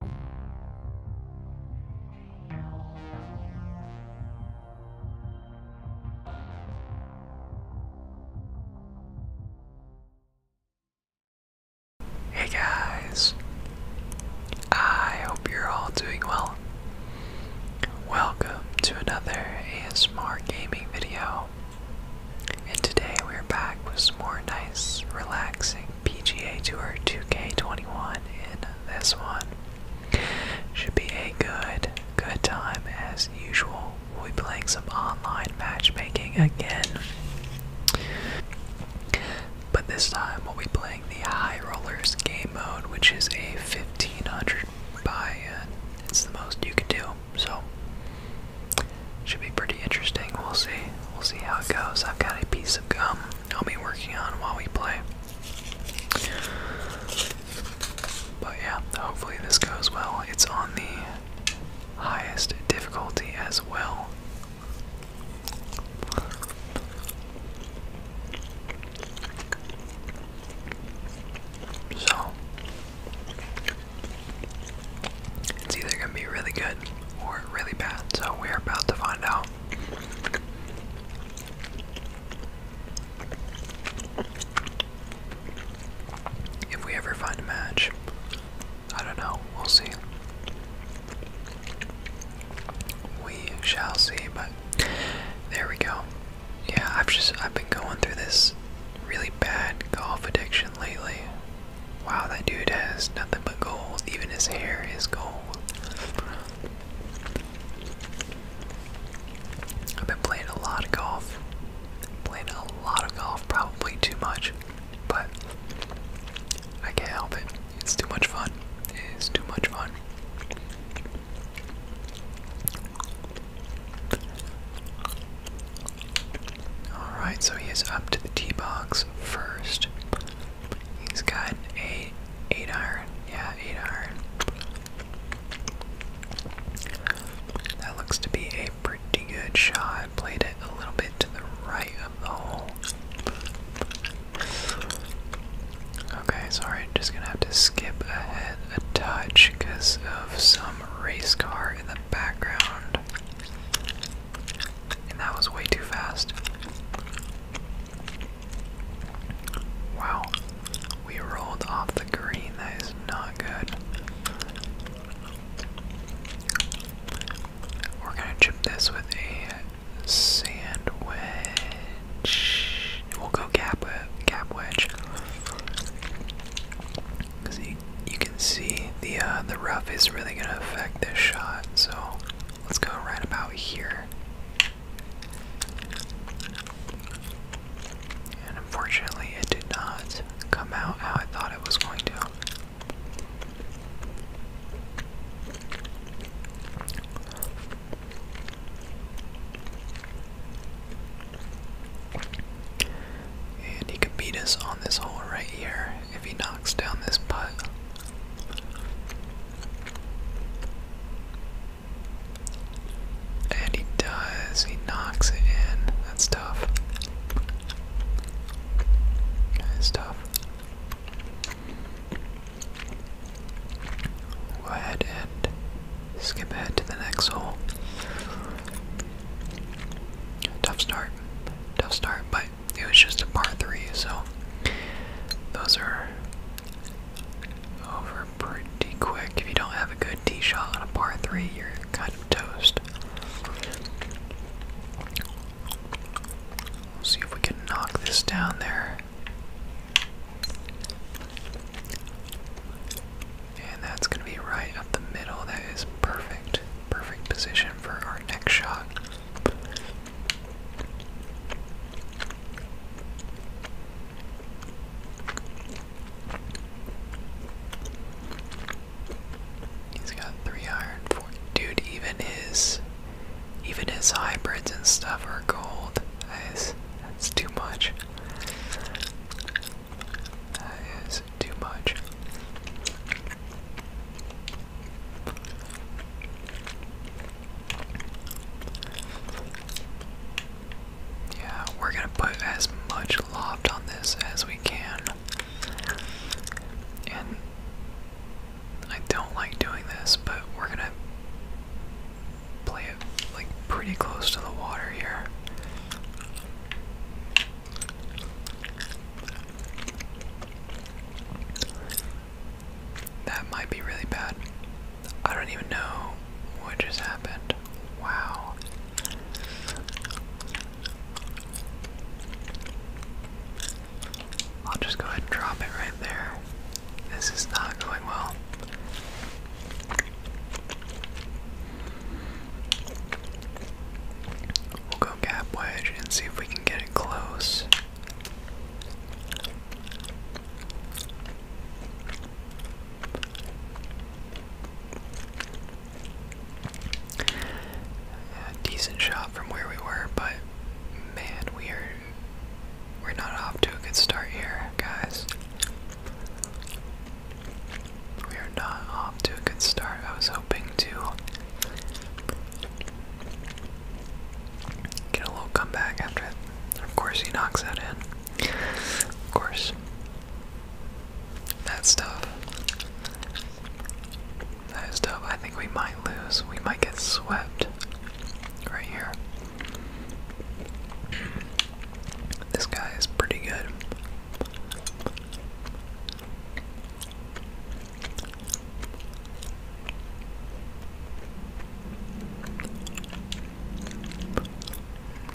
Hey guys, I hope you're all doing well. Welcome to another ASMR gaming video, and today we're back with more nice, relaxing PGA Tour 2K21 in this one. Should be a good, good time as usual. We'll be playing some online matchmaking again. But this time we'll be playing the High Rollers game mode, which is a 1500 buy in. It's the most you can do, so should be pretty interesting. We'll see. We'll see how it goes. I've got a piece of gum I'll be working on while we play. But yeah, hopefully this goes well. It's on the highest difficulty as well. So, it's either going to be really good or really bad, so we're about to find out. If we ever find a match, I don't know, we'll see. We shall see, but there we go. Yeah, I've just I've been going through this really bad golf addiction lately. Wow, that dude has nothing but gold. Even his hair is gold. I've been playing a lot of golf. Playing a lot of golf, probably too much, but I can't help it. It's too much fun. It's too much fun. Alright, so he is up to the tee box first. He's got a eight iron. Yeah, eight iron. That looks to be a pretty good shot. Played it a little bit to the right of the hole. Okay, sorry, just gonna have to skip ahead a touch because of some race car in the background and that was way too fast. Wow, we rolled off the green. That is not good. We're gonna chip this with a sand wedge. We'll go gap wedge. gap wedge. Cause you, can see the uh, the rough is really gonna affect this shot. So Let's go right about here. And unfortunately, it did not come out how I thought it was going to. And he could beat us on this hole right here if he knocks down this putt. And he does, he knocks it in. That's tough. That is tough. Go ahead and skip ahead to the next hole. Tough start. Tough start, but it was just a par three, so those are over pretty quick. If you don't have a good tee shot on a par three, you're kind of toast. see if we can knock this down there. And that's going to be right up the middle. That is perfect. Perfect position for our next shot. He's got three iron dude, even his even his hybrids and stuff are gold. That is that's too much. That is too much. Yeah, we're gonna put as much loft on this as we can. And I don't like doing this, but we're gonna play it like pretty close to the water here. That might be really bad. I don't even know what just happened. Wow. I'll just go ahead and drop it right there. This is not going well. We'll go gap wedge and see if we can get it close decent shot from where we were, but man, we are we're not off to a good start here, guys. We are not off to a good start. I was hoping to Get a little comeback after it. Of course, he knocks that in. Of course. That's tough. That is tough. I think we might lose. We might get swept right here. This guy is pretty good.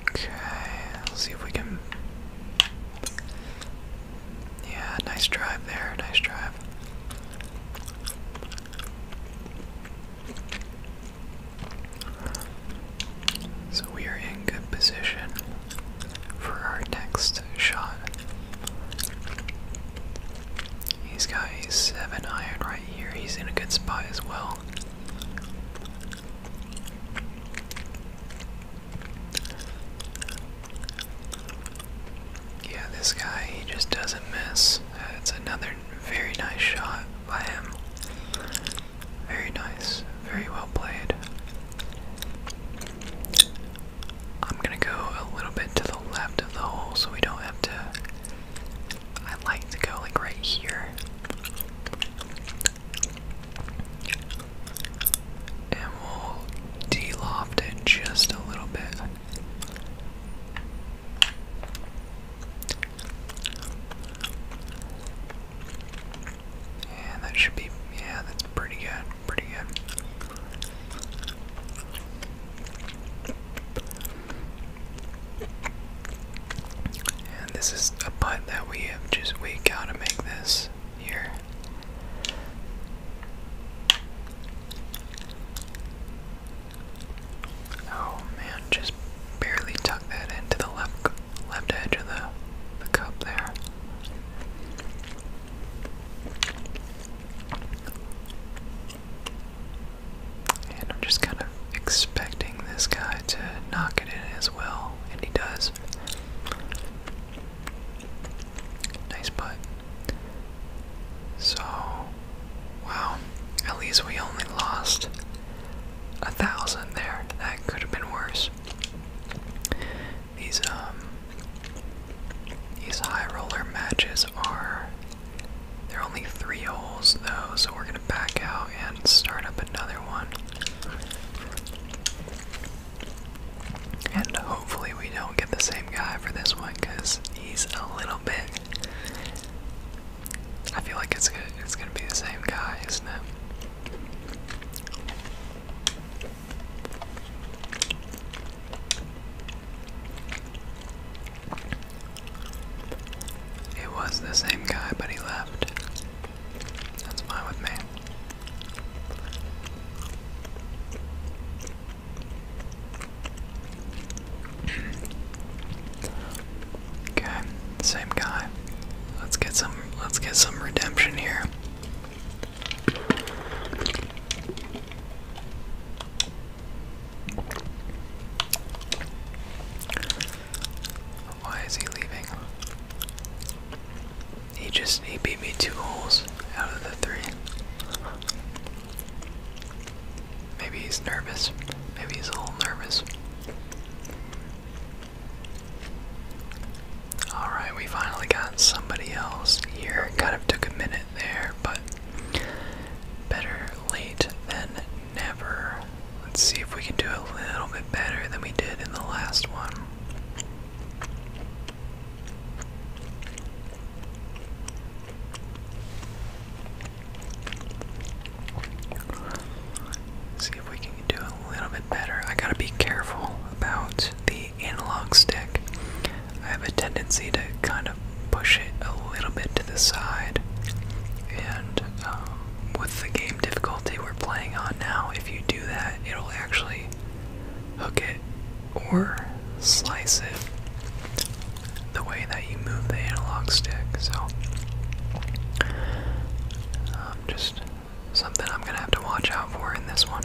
Okay, let's see if we can. Yeah, nice drive there, nice drive. So we are in good position for our next shot. He's got a 7 iron right here. He's in a good spot as well. Yeah, this guy, he just doesn't miss. it's another very nice shot by him. Very nice. Very well played. I'm gonna go a little bit to the left of the hole so we don't have to. I like to go like right here. And we'll de-loft it just a little bit. And that should be, yeah, that's pretty good pretty good. And this is a putt that we have just, we gotta make this here. Oh man, just barely tuck that into the left left edge of the the cup there. And I'm just kind of expecting this guy to knock it in as well, and he does. Nice putt. So, wow. At least we only lost a thousand there. That could have been worse. These, um, these high roller matches are. There are only three holes though, so we're gonna back out and start up another one. And hopefully, we don't get the same guy for this one because he's a little bit. I feel like it's gonna, it's gonna be the same guy, isn't it? It was the same guy, but he left. That's fine with me. okay, same guy. Let's get some let's get some redemption here. Why is he leaving? He just he beat me two holes out of the three. Maybe he's nervous. Maybe he's a little nervous. Alright, we finally got somebody else here. Kind of took a minute there, but Better late than never. Let's see if we can do a little bit better than we did in the last one. see if we can do a little bit better. I gotta be careful about the analog stick, I have a tendency to kind of push it a little bit to the side. And um, with the game difficulty we're playing on now, if you do that, it'll actually hook it or slice it the way that you move the analog stick. So, um, just something I'm gonna have to watch out for in this one.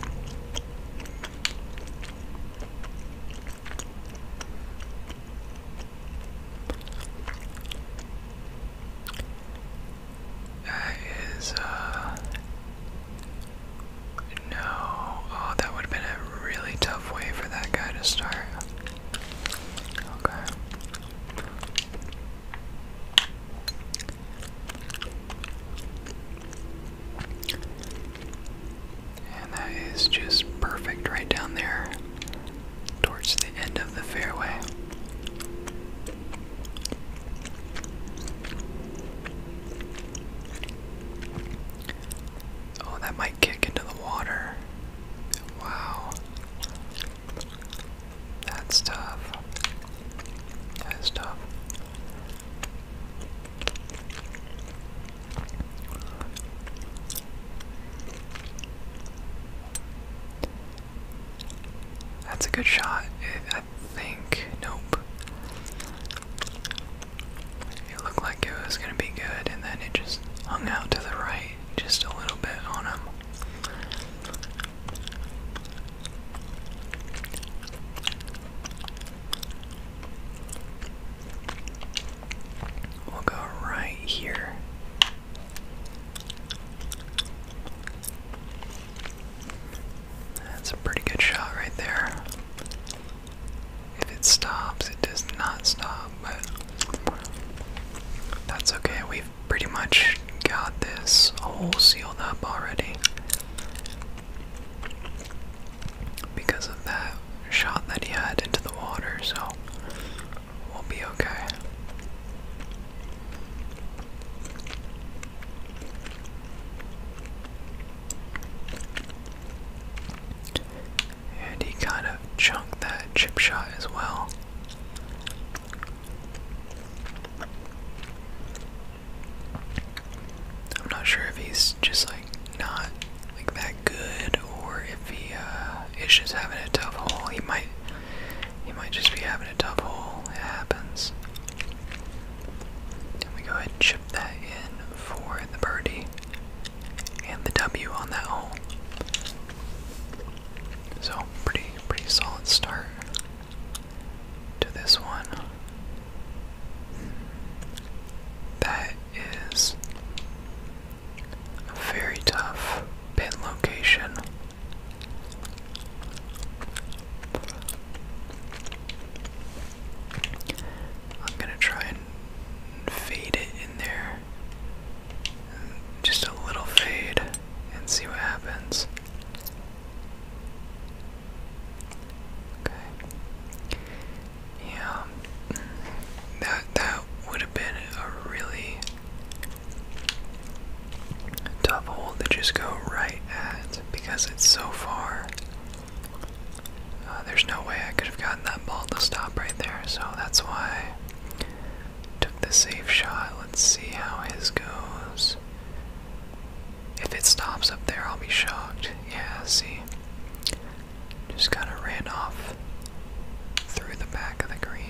That is, uh, No. Oh, that would have been a really tough way for that guy to start. Okay. And that is just perfect right down there towards the end of the fairway. Oh, that might kick into the water. Wow. That's tough. That is tough. That's a good shot. I think. Nope. It looked like it was going to be good, and then it just hung out to the right just a little bit on him. We'll go right here. That's a pretty good shot right there. If it stops, it does not stop, but that's okay. We've pretty much got this hole sealed up already because of that shot that he had into the water, so we'll be okay. And he kind of chunked that chip shot as well. I'm not sure if he's just like not like that good, or if he uh, is just having a tough hole. He might he might just be having a tough hole. It happens. And we go ahead and chip that in for the birdie and the W on that hole. So pretty pretty solid start to this one. That is a very tough pin location. I'm gonna try and fade it in there. Just a little fade and see what happens. Okay. Yeah, that that would have been a really tough hole to just go right at because it's so far. Uh, there's no way I could have gotten that ball to stop right there, so that's why I took the safe shot. Let's see how his goes. If it stops up there, I'll be shocked. Yeah, see just kind of ran off through the back of the green.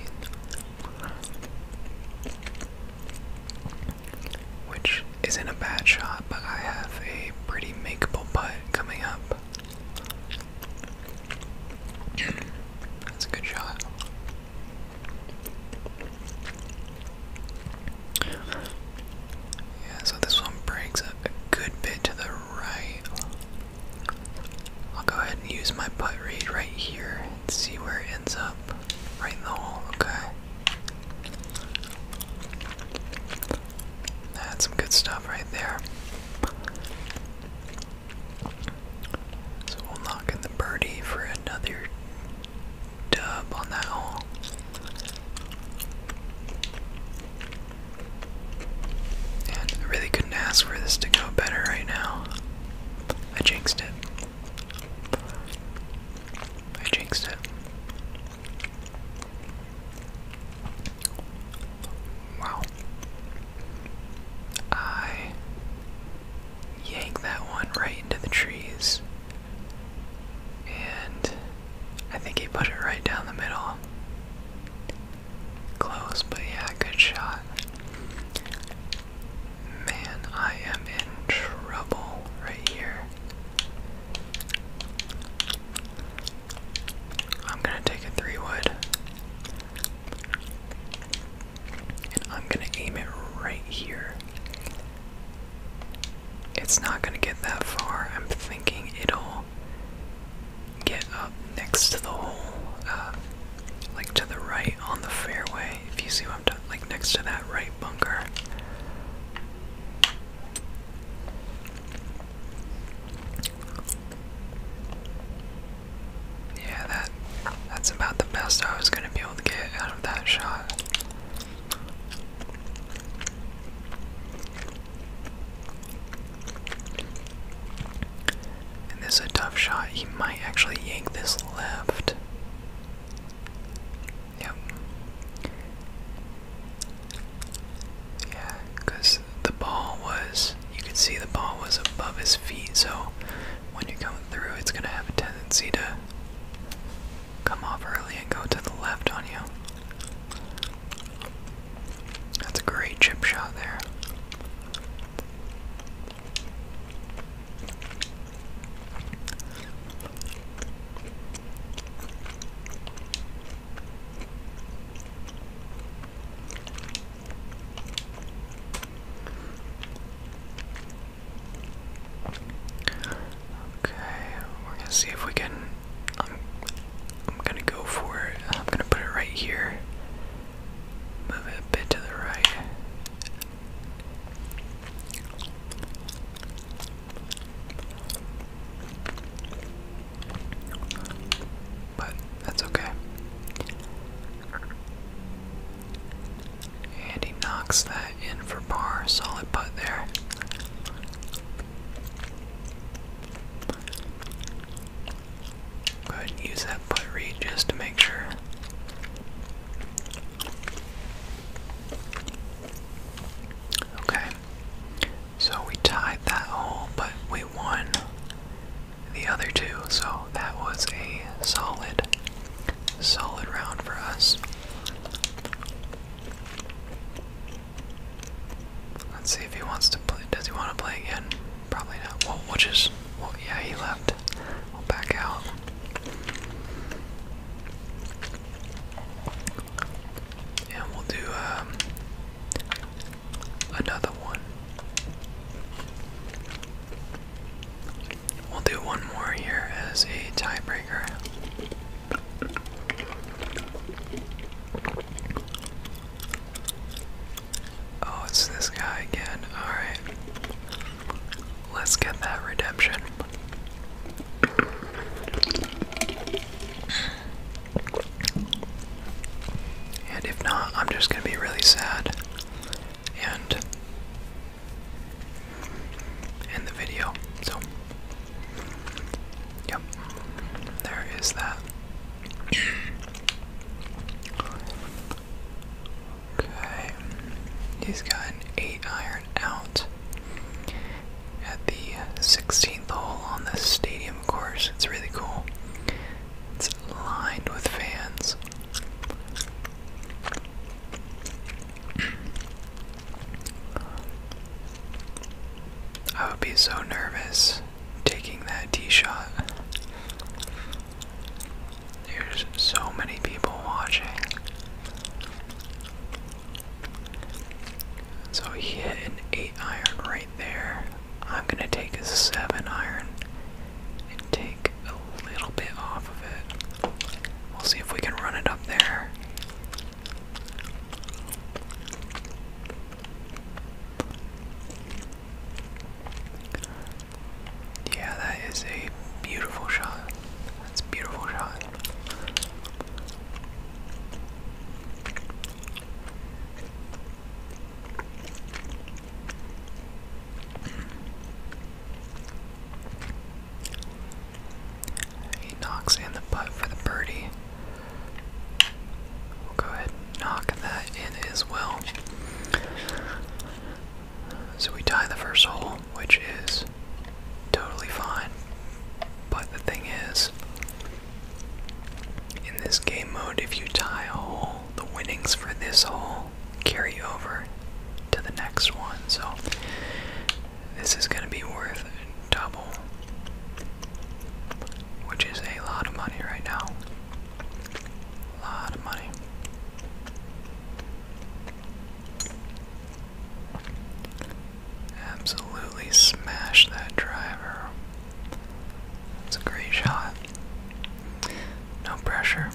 Which isn't a bad shot, but I have a pretty makeable putt coming up. That's a good shot. Yeah, so this one breaks a, good bit to the right. I'll go ahead and use my putt read right here and see where it ends up. Right in the hole, okay. That's some good stuff right there. So we'll knock in the birdie for another dub on that hole. I really couldn't ask for this to go better right now. I jinxed it. I jinxed it. Wow. I yank that one right into the trees. And I think he put it right down the middle. Close, but yeah, good shot. Man, I am in trouble right here. I'm gonna take a three wood. And I'm gonna aim it right here. It's not gonna get that far. I'm thinking it'll get up next to the hole, uh, like to the right on the fairway. If you see what I'm doing, like next to that right bunker. Yeah, that that's about the best I was gonna be able to get out of that shot this is a tough shot. He might actually yank this left. Yep. Yeah, because the ball was, you could see the ball was above his feet, so when you come through, it's going to have a tendency to come off early and go to the left on you. That's a great chip shot there. Okay, we're gonna see if we can. Um, I'm gonna go for it. I'm gonna put it right here. Move it a bit to the right. But that's okay. And he knocks that in for par. Solid putt there. Go ahead and use that putt read just to make sure. Okay. So we tied that hole, but we won the other two, so that was a solid, solid round for us. Let's see if he wants to play. Does he want to play again? Probably not. Well, we'll just. yeah, he left. We'll back out. And we'll do um, another one. We'll do one more here as a tiebreaker. Oh, it's this guy again. Alright. Let's get that redemption. And if not, I'm just gonna be really sad and end the video. So Yep, there is that. okay, he's got an 8 iron out at the 16th hole on the stadium course. It's really cool. It's lined with fans. I would be so nervous taking that tee shot. There's so many people watching. So he hit an 8 iron right there. I'm going to take a 7 iron and take a little bit off of it. We'll see if we can run it up there. Yeah, that is a beautiful shot. That's a beautiful shot. He knocks in the putt for the birdie. We'll go ahead knock that in as well. So we tie the first hole, which is totally fine. But the thing is, in this game mode, if you tie a hole, the winnings for this hole carry over to the next one. So this is going to be worth double, which is a lot of money right now. A lot of money. Absolutely smash that driver. It's a great shot. No pressure.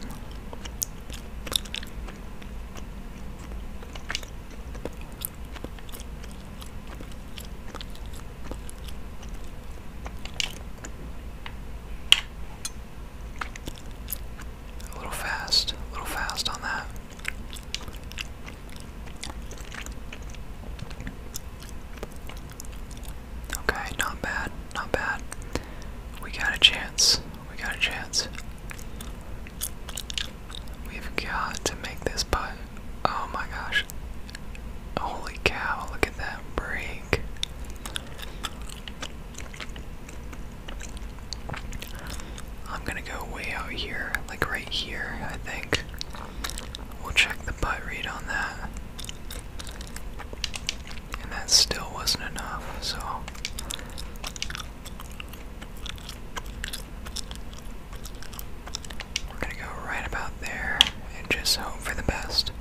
A little fast, a little fast on that. Okay, not bad, not bad. We got a chance. We got a chance. We've got to make this putt. Oh my gosh. Holy cow, look at that break. I'm gonna go way out here, like right here, I think. We'll check the butt read on that. And that still wasn't enough, so. We're gonna go right about there and just hope for the best.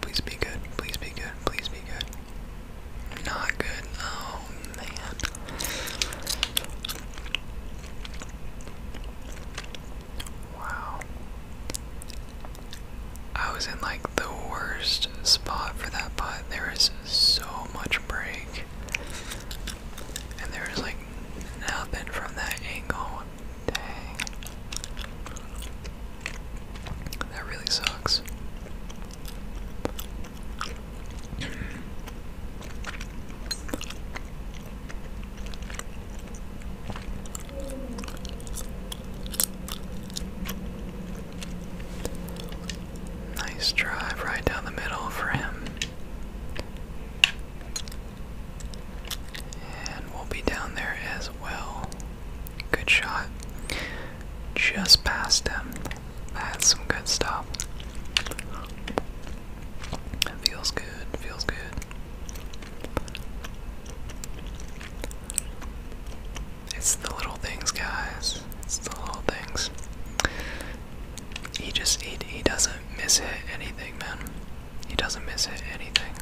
Please be good, please be good, please be good. Not good, oh man. Wow. I was in like the worst spot for that putt. There is so much break. And there's was like nothing from that angle. Dang. That really sucks. Nice drive right down the middle for him. And we'll be down there as well. Good shot. Just past him. That's some good stuff. Feels good, feels good. It's the little things, guys the little things. He just he he doesn't miss it anything, man. He doesn't miss it anything.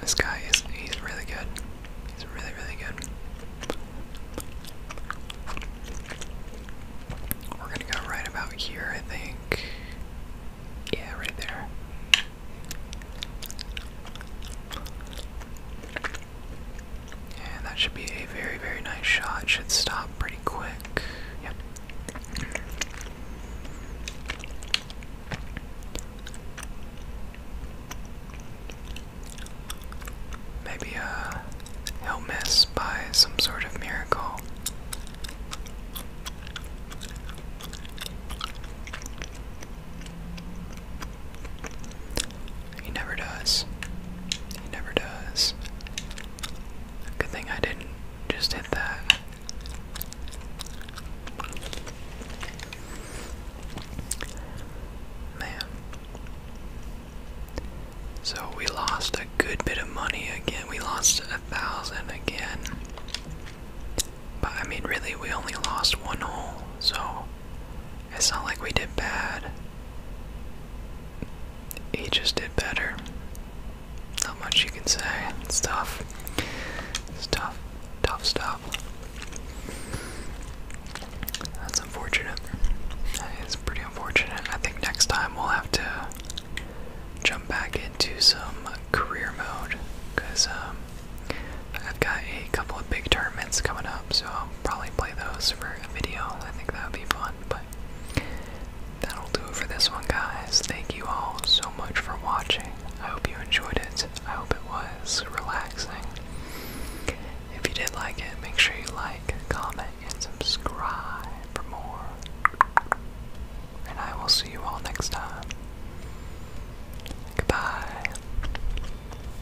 This guy is he's really good. He's really really good. We're gonna go right about here, I think. Yeah, right there. And that should be a very, very nice shot. Should stop pretty quick. Yep. Maybe uh, he miss by some sort of miracle. He never does. He never does. Good thing I didn't just hit that. Man. So we lost a good bit of money again. We lost a thousand again. But I mean, really, we only lost one hole, so it's not like we did bad. He just did better. Not much you can say. It's tough. It's tough. Tough stuff. That's unfortunate. It's pretty unfortunate. I think next time we'll have to jump back into some career mode because um, I've got a a couple of big tournaments coming up, so I'll probably play those for a video. I think that would be fun, but that'll do it for this one, guys. Thank you all so much for watching. I hope you enjoyed it. I hope it was relaxing. If you did like it, make sure you like, comment, and subscribe for more. And I will see you all next time. Goodbye.